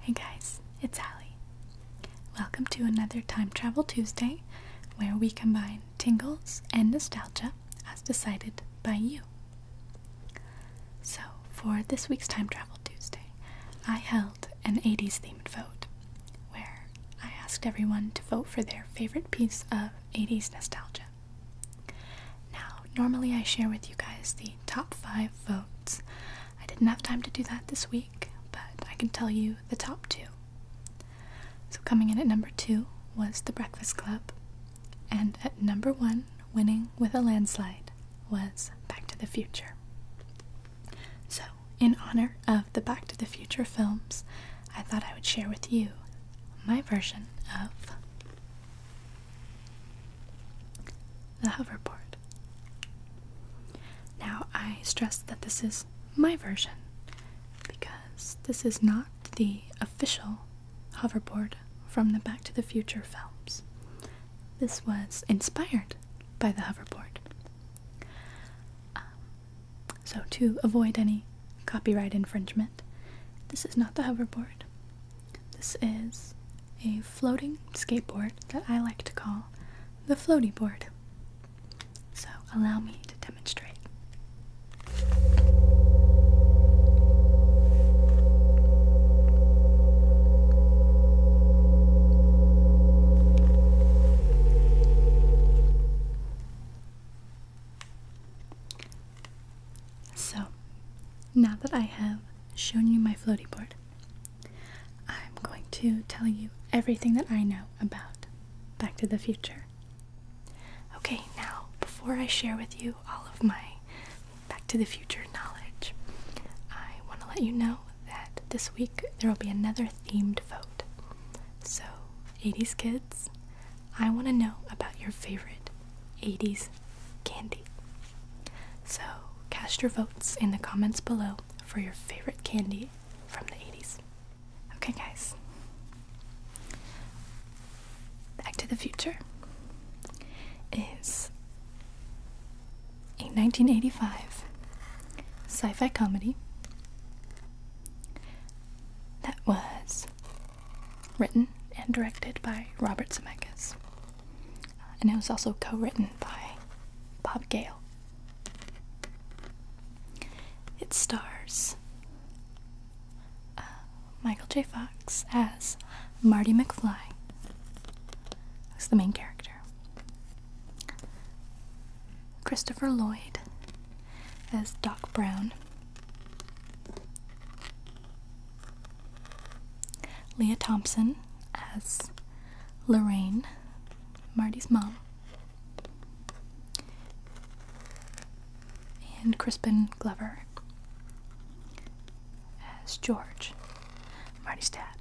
Hey guys, it's Allie. Welcome to another Time Travel Tuesday where we combine tingles and nostalgia as decided by you. So, for this week's Time Travel Tuesday, I held an 80s themed vote where I asked everyone to vote for their favorite piece of 80s nostalgia. Now, normally I share with you guys the top 5 votes. I didn't have time to do that this week, but I can tell you the top 2. So, coming in at number 2 was The Breakfast Club, and at number 1, winning with a landslide, was Back to the Future. So, in honor of the Back to the Future films, I thought I would share with you my version of the hoverboard. Now, I stress that this is my version because this is not the official hoverboard from the Back to the Future films. This was inspired by the hoverboard. Um, so to avoid any copyright infringement, this is not the hoverboard. This is a floating skateboard that I like to call the floaty board. So allow me to demonstrate. So, now that I have shown you my floaty board, I'm going to tell you everything that I know about Back to the Future. Okay, now, before I share with you all of my Back to the Future knowledge, I want to let you know that this week there will be another themed vote. So, 80s kids, I want to know about your favorite 80s candy. So, cast your votes in the comments below for your favorite candy from the 80s. Okay, guys. Back to the Future is a 1985 sci fi comedy that was written and directed by Robert Zemeckis. Uh, and it was also co written by Bob Gale. It stars uh, Michael J. Fox as Marty McFly, who's the main character, Christopher Lloyd as Doc Brown, Leah Thompson as Lorraine, Marty's mom, and Crispin Glover as George, Marty's dad.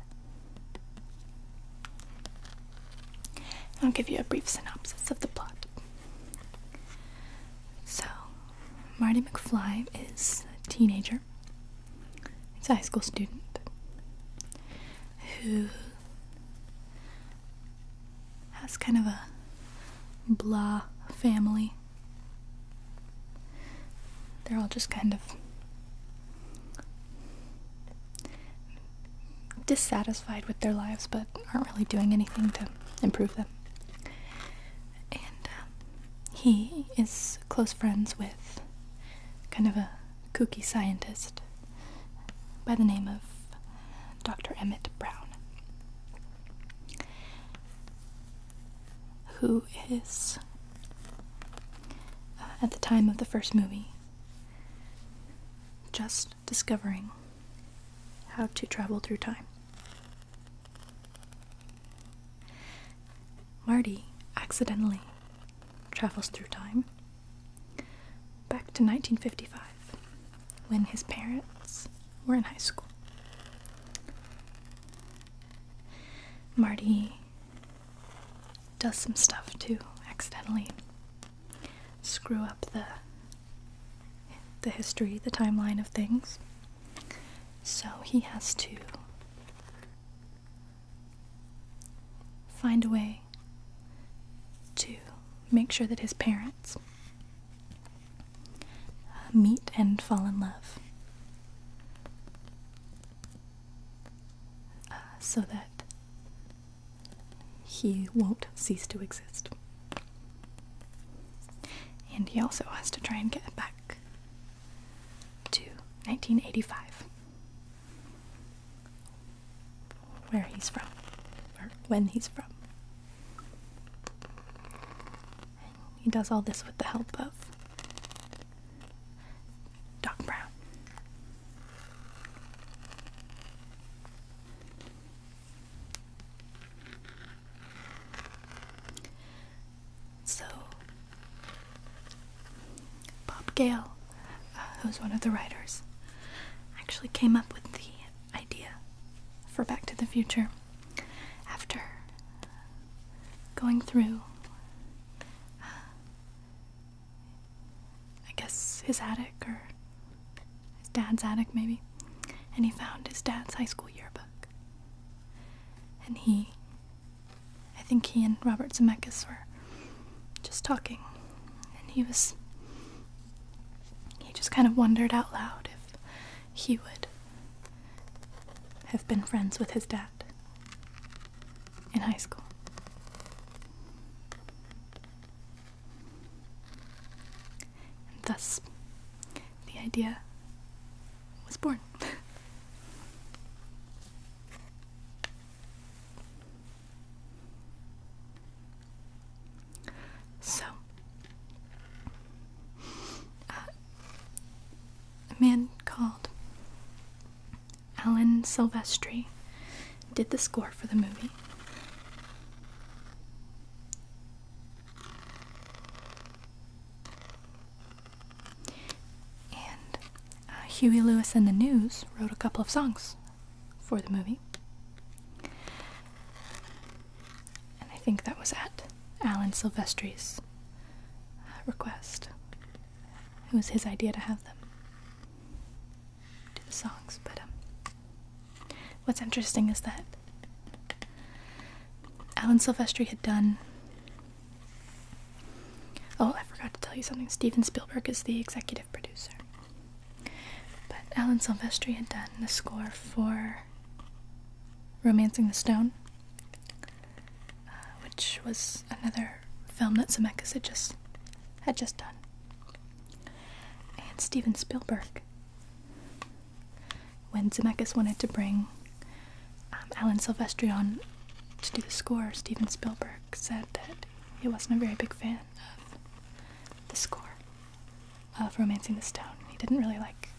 I'll give you a brief synopsis of the plot. So, Marty McFly is a teenager, he's a high school student who has kind of a blah family. They're all just kind of dissatisfied with their lives but aren't really doing anything to improve them. And um, he is close friends with kind of a kooky scientist by the name of Dr. Emmett Brown, who is, uh, at the time of the first movie, just discovering how to travel through time. Marty accidentally travels through time back to 1955 when his parents were in high school. Marty does some stuff too, accidentally, screw up the the history, the timeline of things. So he has to find a way to make sure that his parents uh, meet and fall in love. Uh, so that he won't cease to exist. And he also has to try and get back to 1985, where he's from, or when he's from. He does all this with the help of Doc Brown. So, Bob Gale, uh, who's one of the writers, actually came up with the idea for Back to the Future after going through uh, I guess his attic or his dad's attic, maybe. And he found his dad's high school yearbook. And he, I think he and Robert Zemeckis were just talking. And he was, he just kind of wondered out loud if he would have been friends with his dad in high school. And thus, the idea was born. so, uh, a man called Alan Silvestri did the score for the movie. And uh, Huey Lewis and the News wrote a couple of songs for the movie. And I think that was at Alan Silvestri's uh, request. It was his idea to have them to the songs. But um, what's interesting is that Alan Silvestri had done. Oh, I forgot to tell you something. Steven Spielberg is the executive producer. But Alan Silvestri had done the score for Romancing the Stone, uh, which was another film that Zemeckis had just had just done and Steven Spielberg. When Zemeckis wanted to bring um, Alan Silvestri on to do the score, Steven Spielberg said that he wasn't a very big fan of the score of Romancing the Stone. He didn't really like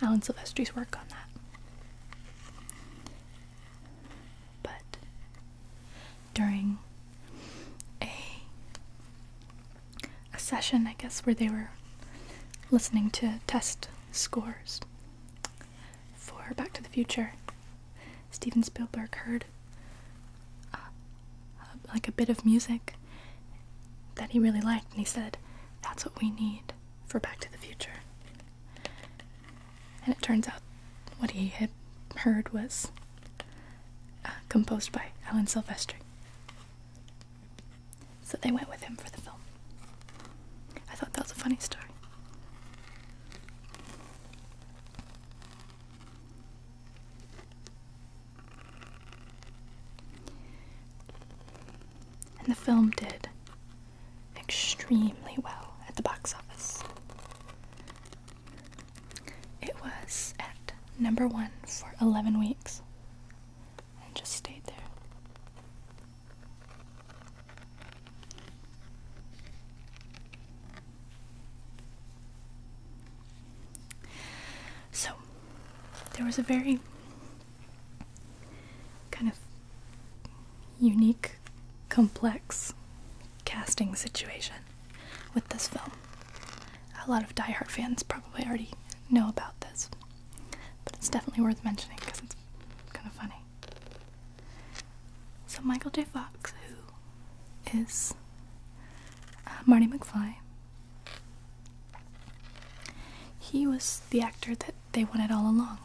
Alan Silvestri's work on that but during a a session, I guess, where they were listening to test scores for Back to the Future, Steven Spielberg heard uh, like a bit of music that he really liked, and he said, "That's what we need for Back to the Future." And it turns out what he had heard was uh, composed by Alan Silvestri. So they went with him for the film. I thought that was a funny story. And the film did extremely well at the box office. It was at number one for 11 weeks and just stayed there. So, there was a very kind of unique, complex casting situation with this film. A lot of Die Hard fans probably already know about this, but it's definitely worth mentioning because it's kind of funny. So Michael J. Fox, who is uh, Marty McFly, he was the actor that they wanted all along.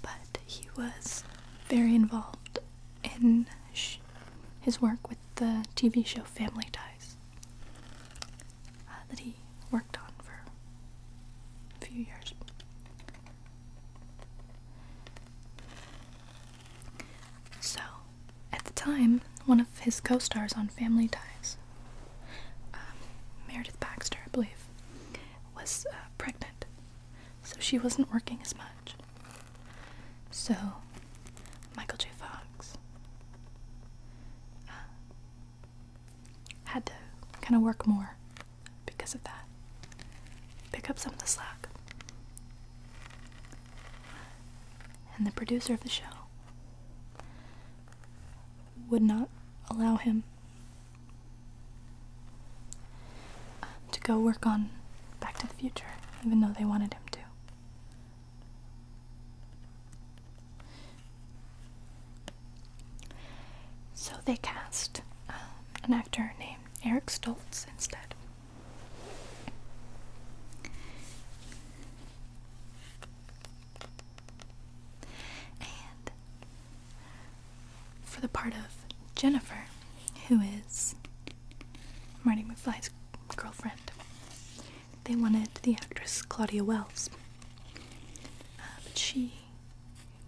But he was very involved in his work with the TV show Family Ties uh, that he worked on for a few years. So, at the time, one of his co stars on Family Ties, um, Meredith Baxter, I believe, was uh, pregnant so she wasn't working as much. So, Michael J. Fox uh, had to kind of work more because of that, pick up some of the slack. And the producer of the show would not allow him to go work on Back to the Future, even though they wanted him to. So they cast um, an actor named Eric Stoltz instead. And for the part of Jennifer, who is Marty McFly's girlfriend. They wanted the actress Claudia Wells, uh, but she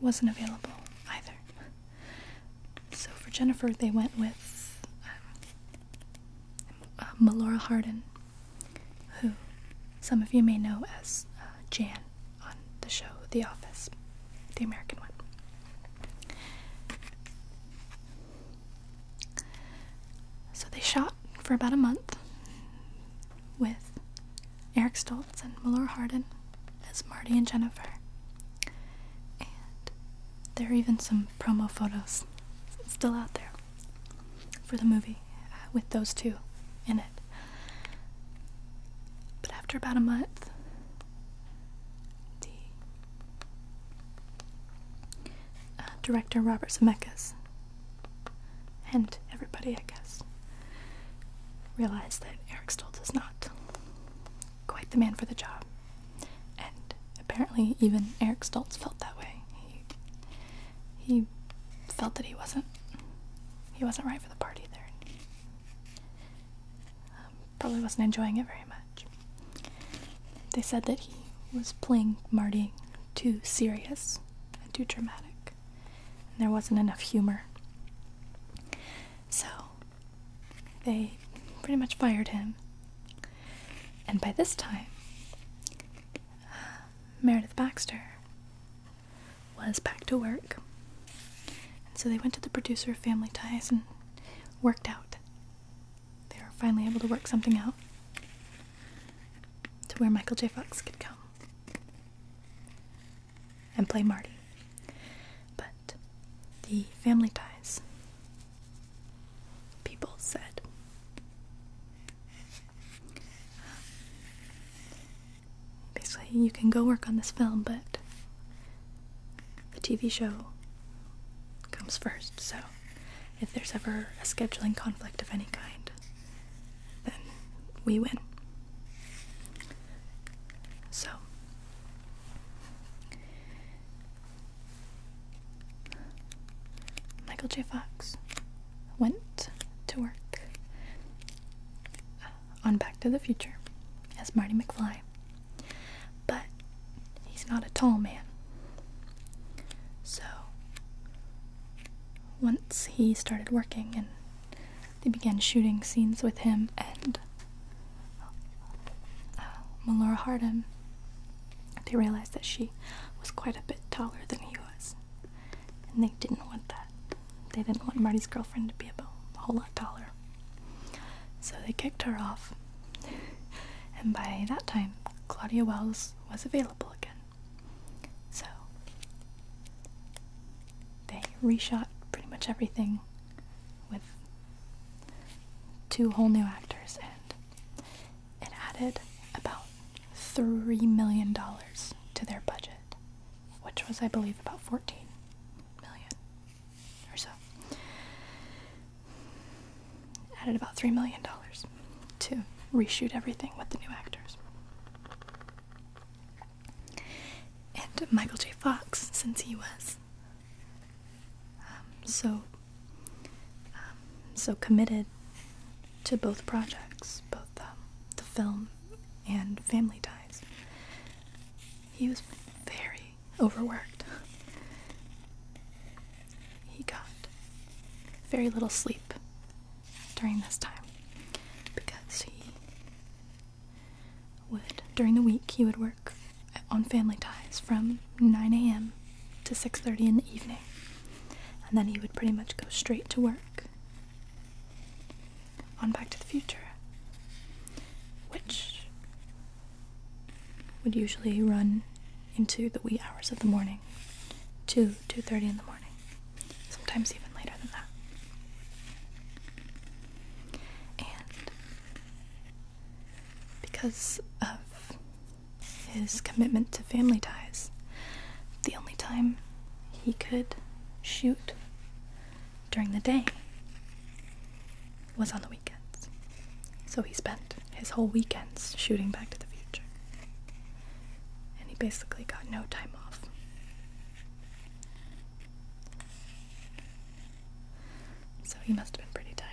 wasn't available either. So for Jennifer, they went with um, uh, Melora Hardin, who some of you may know as uh, Jan on the show The Office, the American one. So they shot for about a month with Eric Stoltz and Melora Hardin as Marty and Jennifer. And there are even some promo photos still out there for the movie uh, with those two in it. But after about a month, D. Uh, director Robert Zemeckis and everybody, I guess, realized that Eric Stoltz is not quite the man for the job. And apparently, even Eric Stoltz felt that way. He, he felt that he wasn't he wasn't right for the part either. Um, probably wasn't enjoying it very much. They said that he was playing Marty too serious and too dramatic, and there wasn't enough humor. So they pretty much fired him. And by this time, uh, Meredith Baxter was back to work. And so they went to the producer of Family Ties and worked out. They were finally able to work something out to where Michael J. Fox could come and play Marty. But the Family Ties people said basically you can go work on this film, but the TV show comes first. So if there's ever a scheduling conflict of any kind, then we win. So Michael J. Fox went to work on Back to the Future as Marty McFly, but he's not a tall man. So once he started working and they began shooting scenes with him and uh, Melora Hardin, they realized that she was quite a bit taller than he was, and they didn't want that. They didn't want Marty's girlfriend to be a whole lot taller. So they kicked her off, and by that time, Claudia Wells was available again. So they reshot pretty much everything with two whole new actors, and it added about $3 million to their budget, which was, I believe, about 14 million or so. Added about $3 million to reshoot everything with the new actors. And Michael J. Fox, since he was um, so um, so committed to both projects, both um, the film and Family Ties, he was very overworked. He got very little sleep during this time because he would, during the week, he would work on family ties from 9 a.m. to 6.30 in the evening. And then he would pretty much go straight to work on Back to the Future, which would usually run into the wee hours of the morning, 2, 2.30 in the morning, sometimes even later than that. And because of his commitment to family ties, the only time he could shoot during the day was on the weekends. So he spent his whole weekends shooting Back to the Future. And he basically got no time off. So he must have been pretty tired.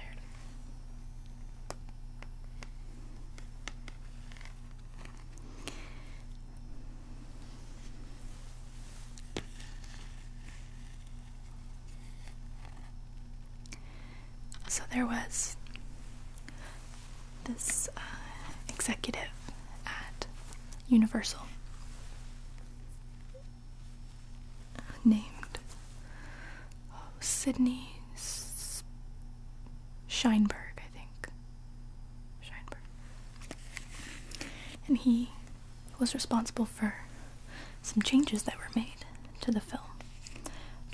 So there was this uh, executive at Universal named oh, Sydney S- Scheinberg, I think. And he was responsible for some changes that were made to the film.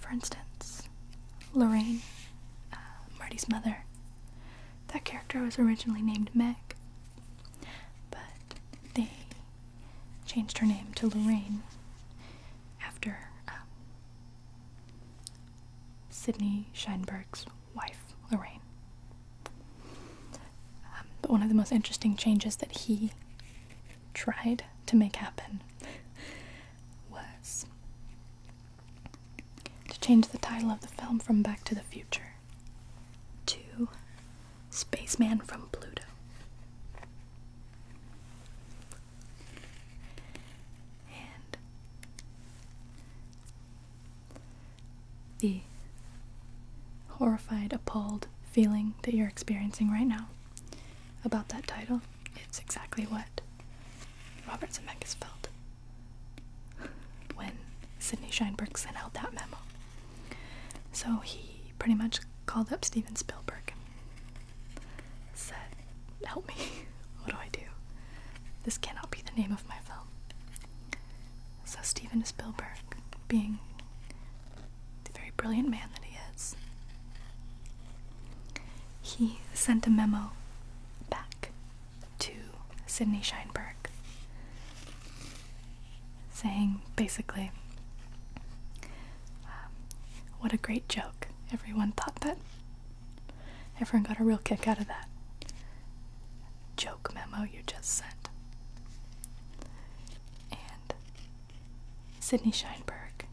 For instance, Lorraine, uh, Marty's mother, that character was originally named Meg, but they changed her name to Lorraine after uh, um, Sidney Sheinberg's wife, Lorraine. Um, but one of the most interesting changes that he tried to make happen was to change the title of the film from Back to the Future to *Space Man from Pluto the horrified, appalled feeling that you're experiencing right now about that title, it's exactly what Robert Zemeckis felt when Sidney Sheinberg sent out that memo. So he pretty much called up Steven Spielberg, and said, Help me, what do I do? This cannot be the name of my film. So Steven Spielberg, being the very brilliant man that he is, he sent a memo back to Sidney Sheinberg saying basically, um, what a great joke. Everyone thought that. Everyone got a real kick out of that. joke." joke memo you just sent. And Sidney Sheinberg,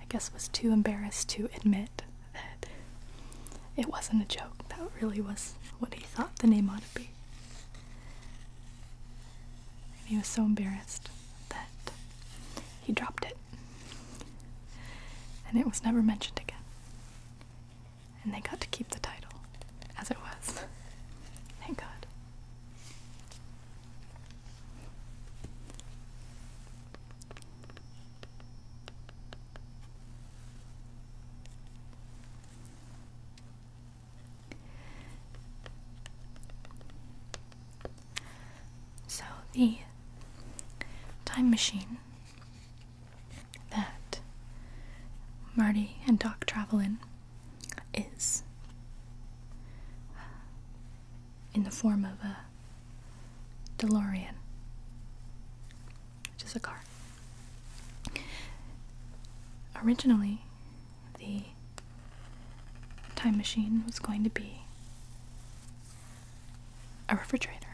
I guess, was too embarrassed to admit that it wasn't a joke. That really was what he thought the name ought to be. And he was so embarrassed that he dropped it. And it was never mentioned again and they got to keep the title as it was. Thank God. So, the time machine that Marty and Doc travel in is in the form of a DeLorean, which is a car. Originally, the time machine was going to be a refrigerator.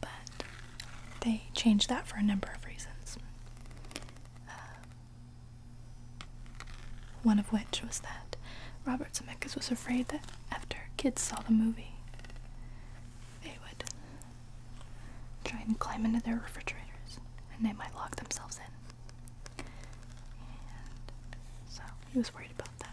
But they changed that for a number of reasons. Uh, one of which was that Robert Zemeckis was afraid that after kids saw the movie, they would try and climb into their refrigerators and they might lock themselves in. so he was worried about that.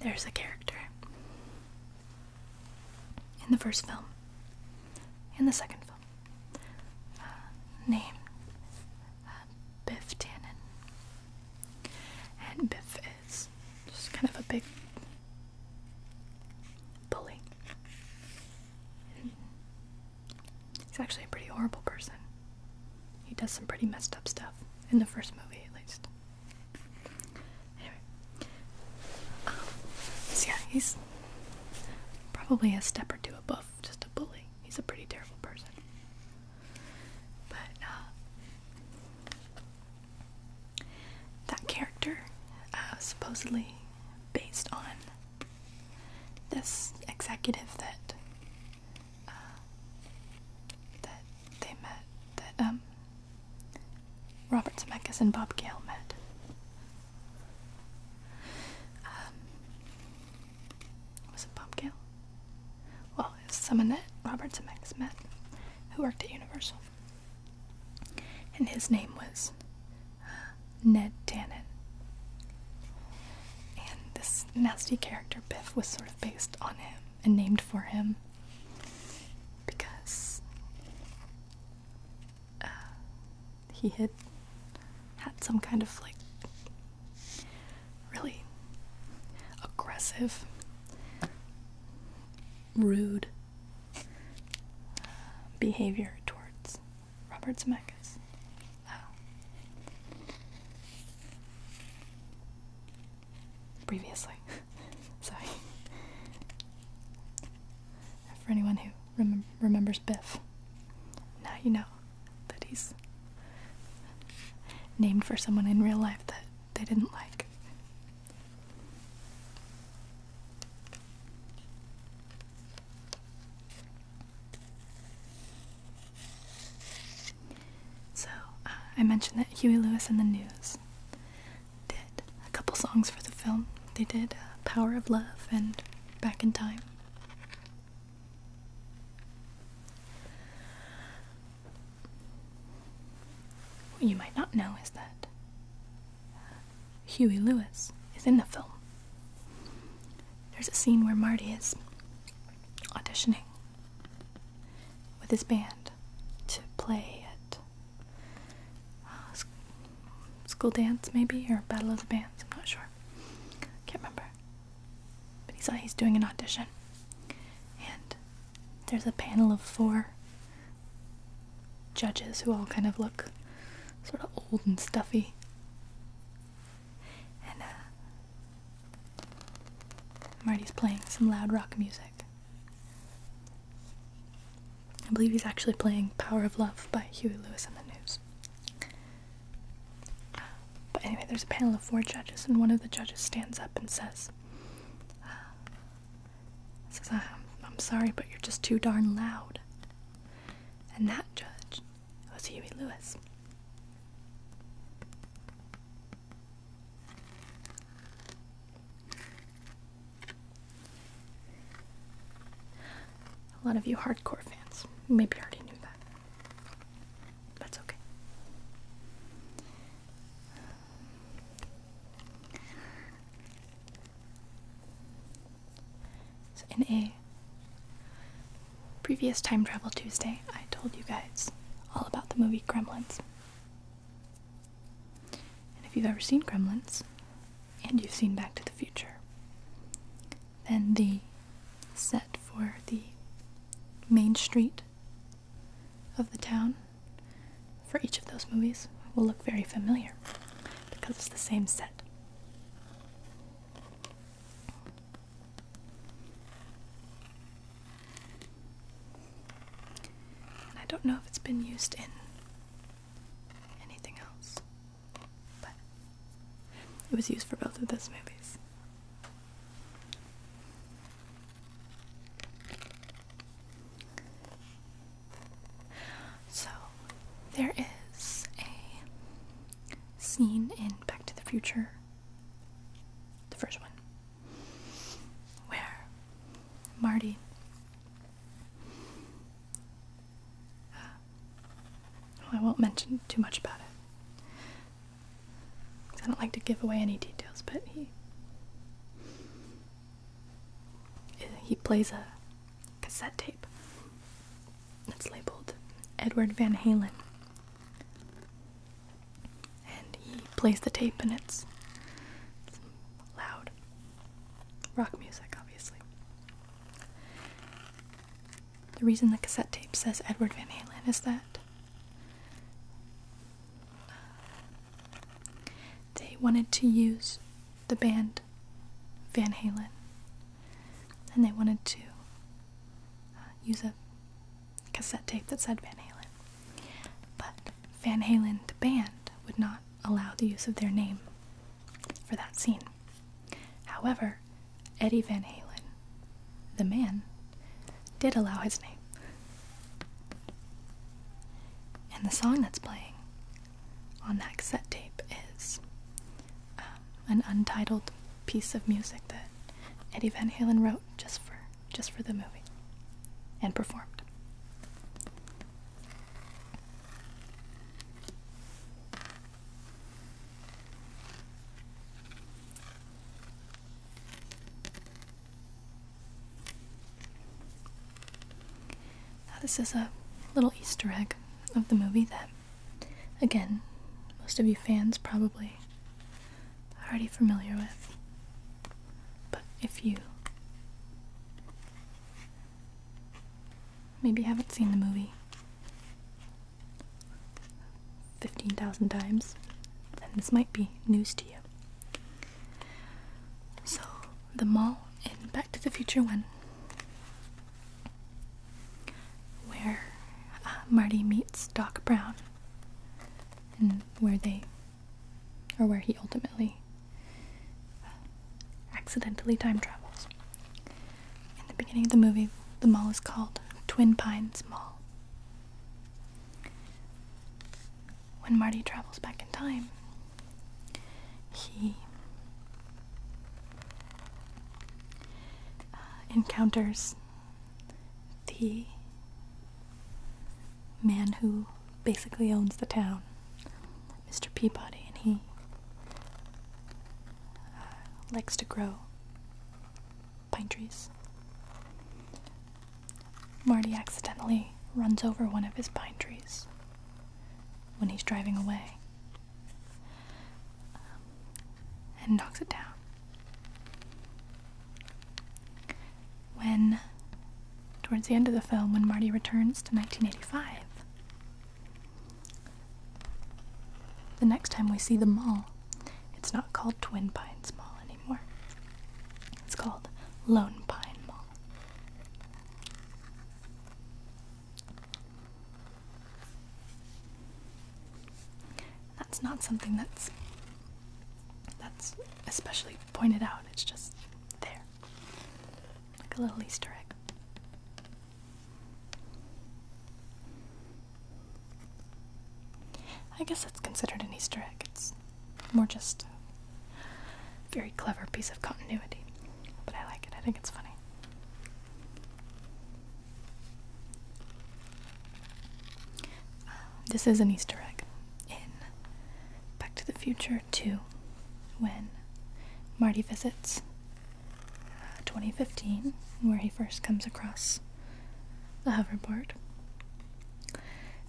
There's a character in the first film, in the second film, uh, uh Biff Tannen. And Biff is just kind of a big bully. he's actually a pretty horrible person. He does some pretty messed up stuff in the first movie, at least. so yeah, he's probably a step or two above just a bully. He's a pretty terrible person. But uh, that character uh, supposedly based on this executive that uh, that they met, that um, Robert Zemeckis and Bob Gale met. Um, was it Bob Gale? Well, it's someone that Robert Zemeckis met who worked at Universal. And his name was uh, Ned Tannen. And this nasty character, Biff, was sort of based on him and named for him because uh, he had had some kind of like really aggressive, rude behavior towards Robert Zemeckis. Oh. Previously. Sorry. For anyone who remembers Biff, now you know that he's named for someone in real life that they didn't like. So, uh, I mentioned that Huey Lewis and the News did a couple songs for the film. They did uh, Power of Love and Back in Time. What you might not know is that Huey Lewis is in the film. There's a scene where Marty is auditioning with his band to play at uh, school dance, maybe, or Battle of the Bands, I'm not sure. Can't remember. But he's he's doing an audition, and there's a panel of four judges who all kind of look sort of old and stuffy. And uh, Marty's playing some loud rock music. I believe he's actually playing Power of Love by Huey Lewis and the News. But anyway, there's a panel of four judges, and one of the judges stands up and says, says I'm, ah, I'm sorry, but you're just too darn loud. And that judge was Huey Lewis. A lot of you hardcore fans maybe already knew that. That's okay. So, in a previous Time Travel Tuesday, I told you guys all about the movie Gremlins. And if you've ever seen Gremlins, and you've seen Back to the Future, then the set for the Main Street of the town for each of those movies will look very familiar because it's the same set. I don't know if it's been used in anything else, but it was used for both of those movies. So, there is a scene in Back to the Future, the first one, where Marty uh, I won't mention too much about it. I don't like to give away any details, but he he plays a cassette tape that's labeled Edward Van Halen. And he plays the tape and it's loud. Rock music, obviously. The reason the cassette tape says Edward Van Halen is that they wanted to use the band Van Halen and they wanted to uh, use a cassette tape that said Van Halen. But Van Halen, the band, would not allow the use of their name for that scene. However, Eddie Van Halen, the man, did allow his name. And the song that's playing on that cassette tape is um, an untitled piece of music that Eddie Van Halen wrote just for just for the movie and performed. Now, this is a little Easter egg of the movie that, again, most of you fans probably already familiar with. But if you maybe haven't seen the movie, 15,000 times, then this might be news to you. So, the mall in Back to the Future 1, where uh, Marty meets Doc Brown, and where they, or where he ultimately uh, accidentally time travels. In the beginning of the movie, the mall is called Twin Pines Mall. When Marty travels back in time, he uh, encounters the man who basically owns the town, Mr. Peabody, and he uh, likes to grow pine trees. Marty accidentally runs over one of his pine trees when he's driving away um, and knocks it down. When, towards the end of the film, when Marty returns to 1985, the next time we see the mall, it's not called Twin Pines Mall anymore. It's called Lone Pine Mall. That's not something that's that's especially pointed out. It's just there. Like a little Easter egg. I guess that's considered an Easter egg. It's more just a very clever piece of continuity. But I like it, I think it's funny. Um, this is an Easter egg in Back to the Future 2 when Marty visits uh, 2015, where he first comes across the hoverboard.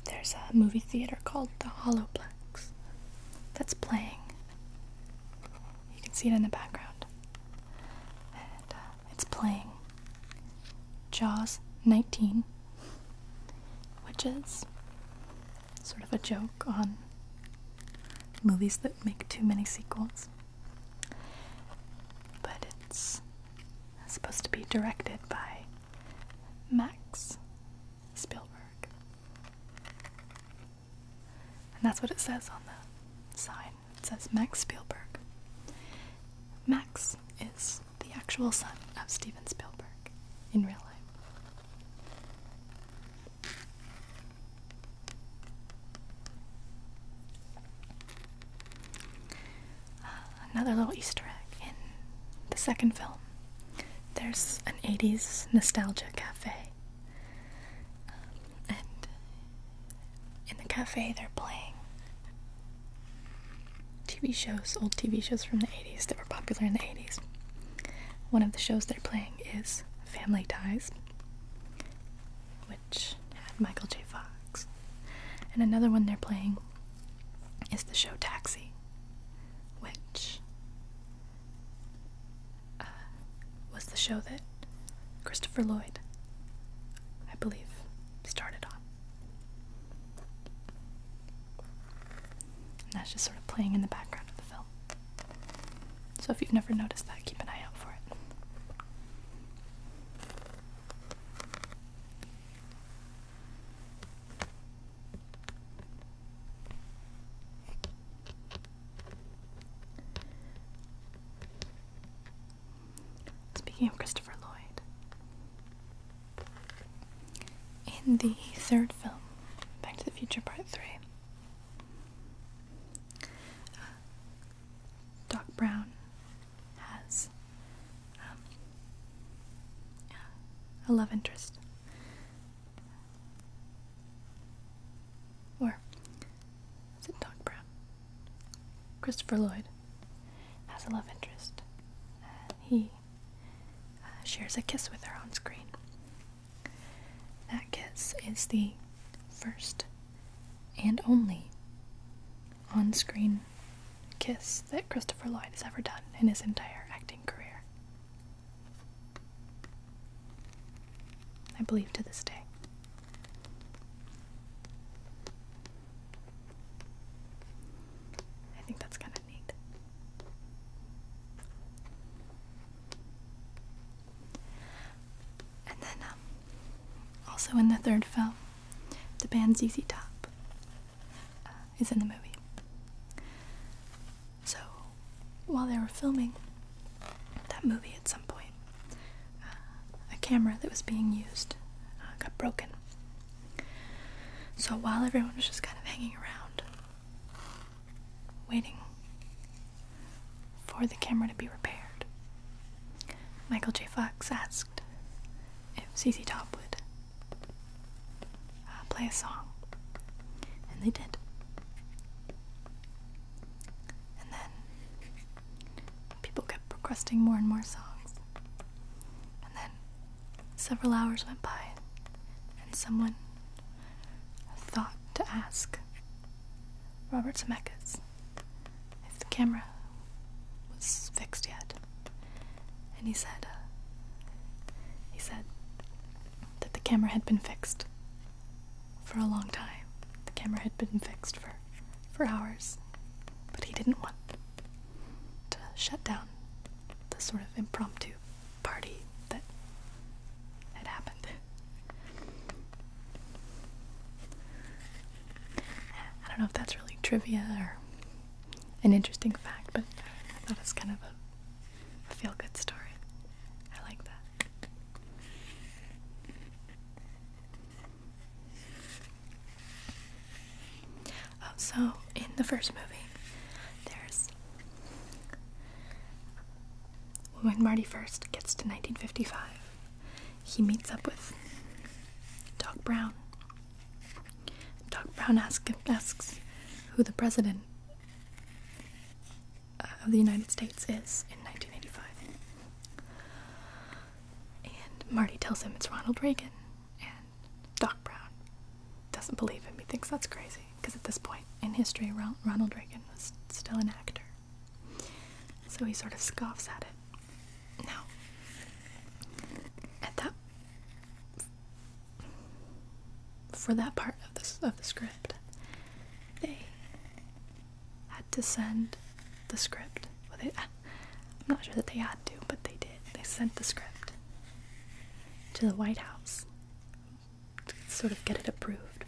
There's a movie theater called the Holoplex that's playing. You can see it in the background. Uh, it's playing Jaws 19, which is sort of a joke on movies that make too many sequels. But it's supposed to be directed by Max Spielberg. And that's what it says on the sign. It says Max Spielberg. Max is the actual son of Steven Spielberg in real life another little Easter egg in the second film. There's an 80s nostalgia cafe. and in the cafe, they're playing TV shows, old TV shows from the 80s that were popular in the 80s. One of the shows they're playing is Family Ties, had Michael J. Fox. And another one they're playing is the show Taxi, which uh, was the show that Christopher Lloyd, I believe, started on. And that's just sort of playing in the background of the film. So if you've never noticed that, keep an eye out for it. Speaking of Christopher Lloyd, in the third film, Back to the Future Part 3, Doc Brown has um, a love interest. Or is Doc Brown? Christopher Lloyd has a love interest. Uh, he shares a kiss with her on screen. That kiss is the first and only on screen kiss that Christopher Lloyd has ever done in his entire acting career. I believe to this day. I think that's kind of neat. And then, um, also in the third film, the band ZZ Top uh, is in the movie. So while they were filming that movie at some point, uh, a camera that was being used uh, got broken. So while everyone was just kind of hanging around, waiting for the camera to be repaired, Michael J. Fox asked if ZZ Top would uh, play a song, and they did. And then people kept requesting more and more songs, and then several hours went by, and someone thought to ask Robert Zemeckis if the camera was fixed yet. And he said, uh, he said that the camera had been fixed for a long time. The camera had been fixed for, for hours, but he didn't want to shut down the sort of impromptu party that had happened. I don't know if that's really trivia or an interesting fact, but I thought it's kind of a feel good story. I like that. Oh, so in the first movie, there's when Marty first gets to 1955 he meets up with Doc Brown. Doc Brown asks who the president uh, of the United States is in 1985. And Marty tells him it's Ronald Reagan, and Doc Brown doesn't believe him. He thinks that's crazy, because at this point in history, Ronald Reagan was still an actor. So he sort of scoffs at it. Now, at that for that part of this of the script, they had to send the script. Well, they, I'm not sure that they had to, but they did. They sent the script to the White House to sort of get it approved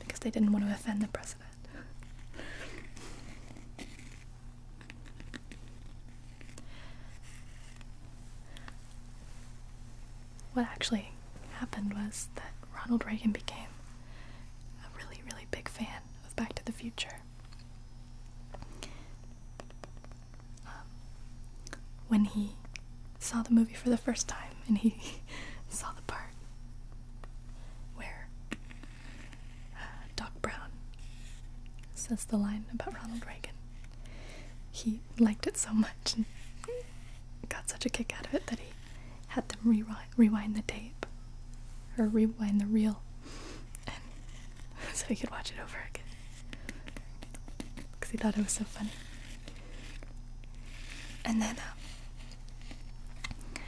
because they didn't want to offend the president what actually happened was that Ronald Reagan became a really, really big fan of Back to the Future. Um, when he saw the movie for the first time and he saw the part where Doc Brown says the line about Ronald Reagan. He liked it so much and got such a kick out of it that he had them rewind, the tape or rewind the reel so he could watch it over again because he thought it was so funny. And then uh,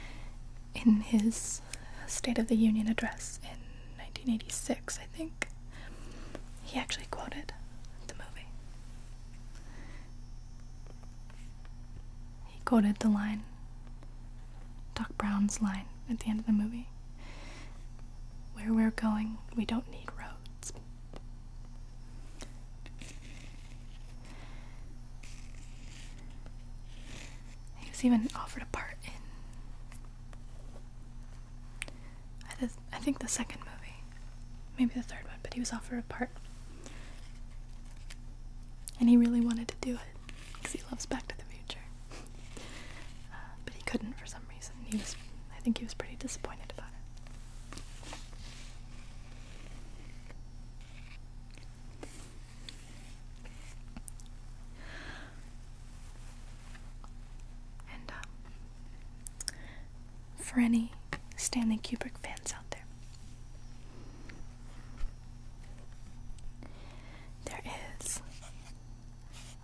in his State of the Union address in 1986, I think, he actually quoted the movie. He quoted the line, Doc Brown's line at the end of the movie Where we're going, we don't need roads. He was even offered a part in. I, think the second movie. Maybe the third one, but he was offered a part. And he really wanted to do it because he loves Back to the Future. Uh, but he couldn't for some reason. He was, I think he was pretty disappointed about it. And uh, for any Stanley Kubrick fans out there, there is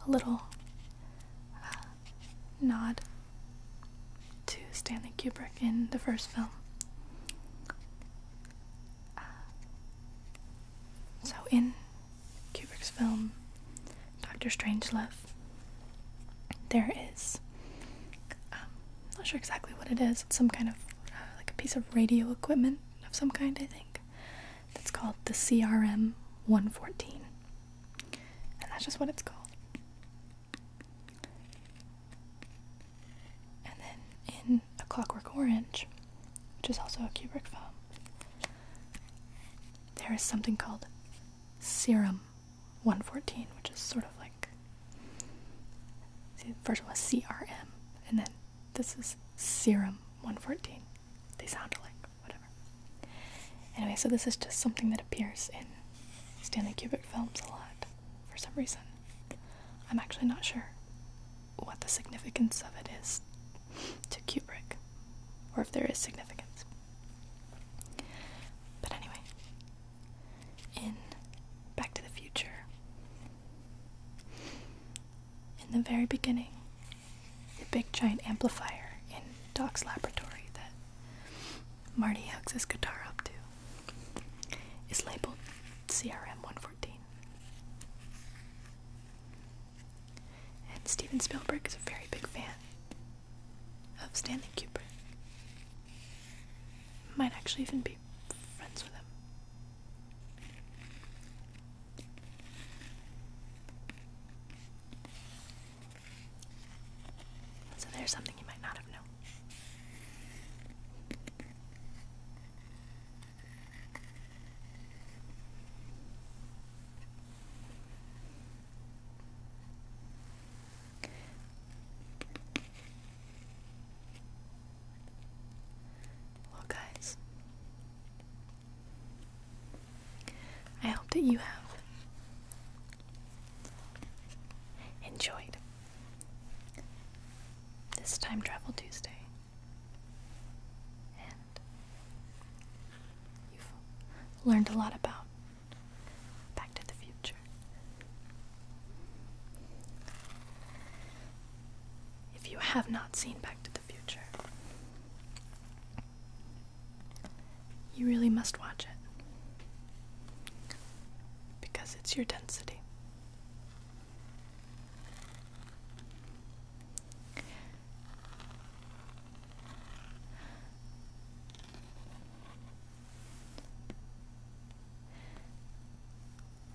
a little uh, nod to Stanley Kubrick in the first film. Uh, so in Kubrick's film Doctor Strange* Strangelove, there is um, not sure exactly what it is. It's some kind of uh, like a piece of radio equipment of some kind, I think. That's called the CRM 114, and that's just what it's called. And then in A Clockwork Orange, which is also a Kubrick film, there is something called Serum 114, which is sort of like the first one was CRM, and then this is Serum 114. They sound alike, whatever. Anyway, so this is just something that appears in Stanley Kubrick films a lot for some reason. I'm actually not sure what the significance of it is to Kubrick, or if there is significance. But anyway, in Back to the Future, in the very beginning, the big giant amplifier in Doc's laboratory that Marty hugs his guitar up to is labeled CRM 114. And Steven Spielberg is a very big fan of Stanley Kubrick. Might actually even be friends with him. So there's something you might not have known. Well, guys, I hope that you have enjoyed this Time Travel Tuesday you've learned a lot about Back to the Future. If you have not seen Back to the Future, you really must watch it because it's your density.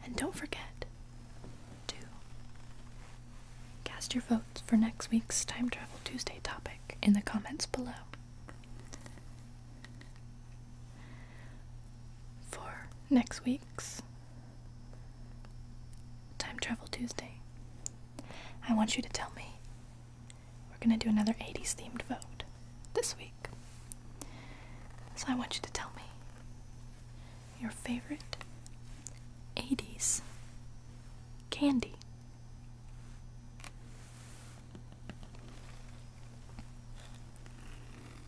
And don't forget to cast your votes for next week's Time Travel Tuesday topic in the comments below. For next week, Time Travel Tuesday. I want you to tell me. We're gonna do another 80s themed vote this week. So I want you to tell me your favorite 80s candy.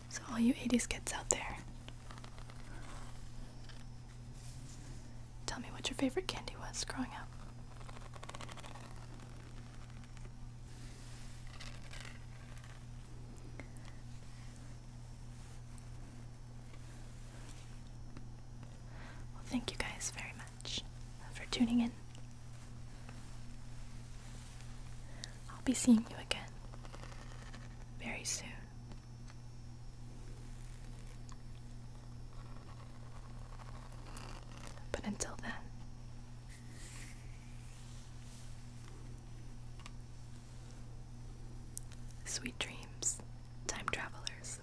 So, all you 80s kids out there, Tell me what your favorite candy was growing up. Well, thank you guys very much for tuning in. I'll be seeing you again very soon. But until then, sweet dreams, time travelers.